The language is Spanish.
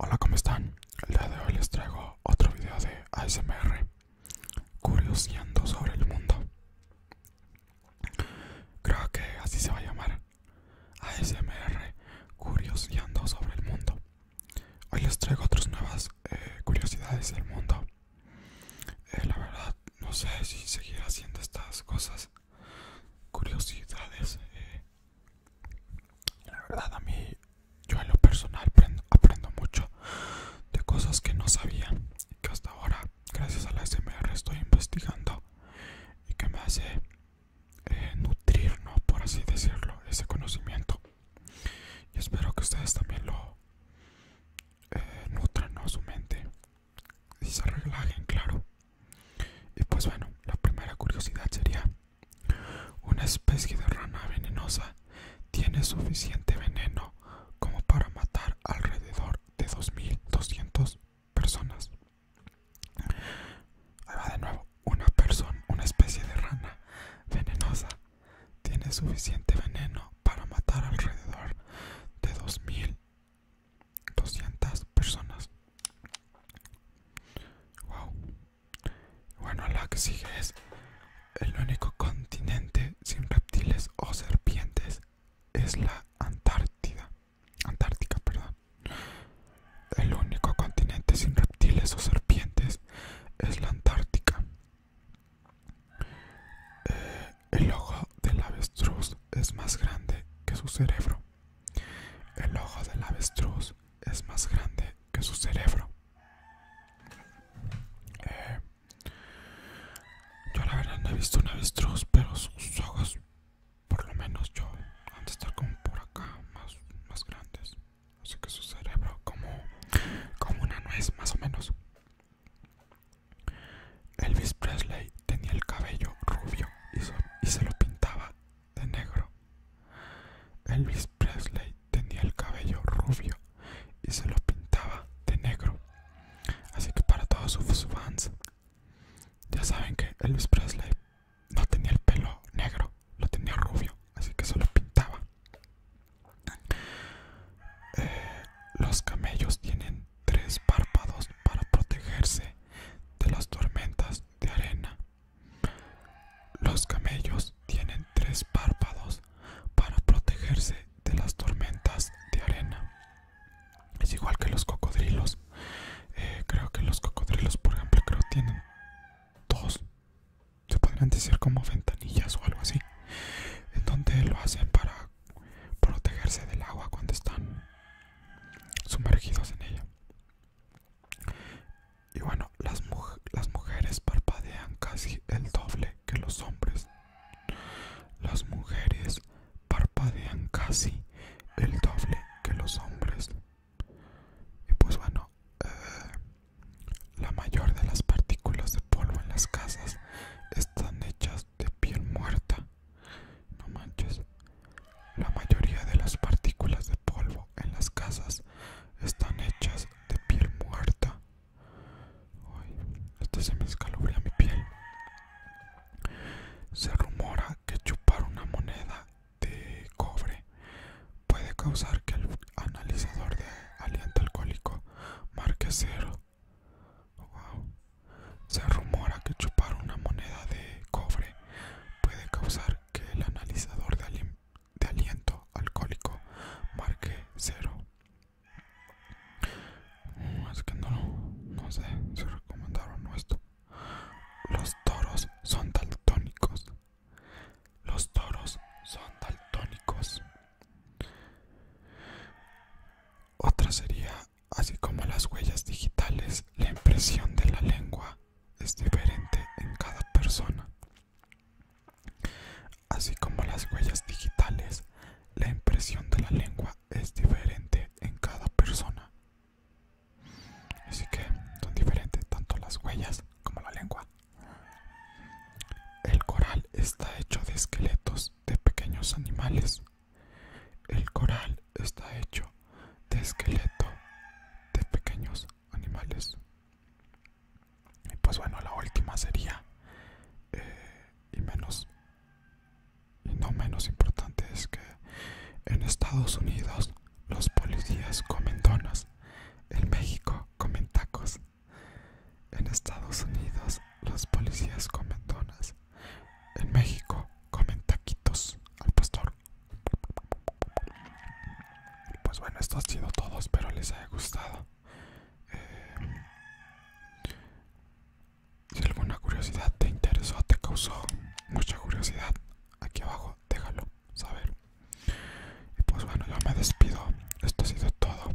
Hola, ¿cómo están? El día de hoy les traigo otro video de ASMR Curioseando sobre el mundo. Creo que así se va a llamar. ASMR Curioseando sobre el mundo. Hoy les traigo otras nuevas eh, curiosidades del mundo eh, la verdad, no sé si seguir haciendo estas cosas, curiosidades. Eh. la verdad, a mí, yo en lo personal aprendo, mucho de cosas que no sabía y que hasta ahora, gracias a la SMR, estoy investigando y que me hace eh, nutrir, ¿no? por así decirlo, ese conocimiento. Y espero que ustedes también lo, eh, nutren su mente y se relajen, claro. Y pues bueno, la primera curiosidad sería, una especie de rana venenosa tiene suficiente veneno como para matar alrededor de 2.200 personas. Ahí va de nuevo, una persona, una especie de rana venenosa tiene suficiente veneno para matar alrededor de 2.200 personas. Wow. Bueno, la que sigue es el único continente sin reptiles o serpientes es la Antártida. Antártica, perdón. El único continente sin reptiles o serpientes es la Antártica. Eh, el ojo del avestruz es más grande que su cerebro. El ojo del avestruz es más grande que su cerebro. Eh, yo la verdad no he visto un avestruz, pero sus ojos, por lo menos yo, han de estar como por acá, más, más grandes. Así que su cerebro como, como una nuez, más o menos. Elvis Presley tenía el cabello rubio y se, lo pintaba de negro. Elvis Presley tenía el cabello rubio y se lo pintaba de negro. Así que para todos sus fans, ya saben que Elvis Presley no tenía el pelo negro, lo tenía rubio, así que se lo pintaba. Eh, los camellos tienen tres párpados para protegerse de las tormentas de arena. Los camellos tienen tres párpados para protegerse de las tormentas de arena. Es igual que los cocodrilos. Eh, creo que los cocodrilos, por ejemplo, creo tienen dos. Se podrían decir como ventanillas o algo así en donde lo hacen para protegerse del agua cuando están sumergidos en ella. Y bueno, las, las mujeres parpadean casi el doble que los hombres. Las mujeres parpadean casi el doble que los hombres. Y pues bueno, eh, la mayor de las partículas de polvo en las casas están hechas de piel muerta. No manches. La mayoría de las partículas de polvo en las casas están hechas de piel muerta. Uy, se me escalofría mi piel. Se rumora que chupar una moneda de cobre puede causar que el analizador de aliento alcohólico marque cero. Se rumora que chupar una moneda de cobre puede causar que el analizador de, aliento alcohólico marque cero. Mm, es que no, no sé se recomendaron esto. Los toros son daltónicos. Los toros son daltónicos. Otra sería, así como las huellas digitales, la impresión de la lengua es diferente en cada persona. Así como las huellas digitales, la impresión de la lengua es diferente en cada persona. Así que son diferentes tanto las huellas como la lengua. El coral está hecho de esqueletos de pequeños animales. El coral está hecho de esqueleto de pequeños animales. Y pues bueno, la última sería, eh, y menos, y no menos importante, es que en Estados Unidos los policías comen donas, en México comen tacos. En Estados Unidos los policías comen donas. En México comen taquitos al pastor. Pues bueno, esto ha sido todo, espero les haya gustado. Eh, si alguna curiosidad te interesó, te causó mucha curiosidad, aquí abajo déjalo saber. Y pues bueno, yo me despido. Esto ha sido todo.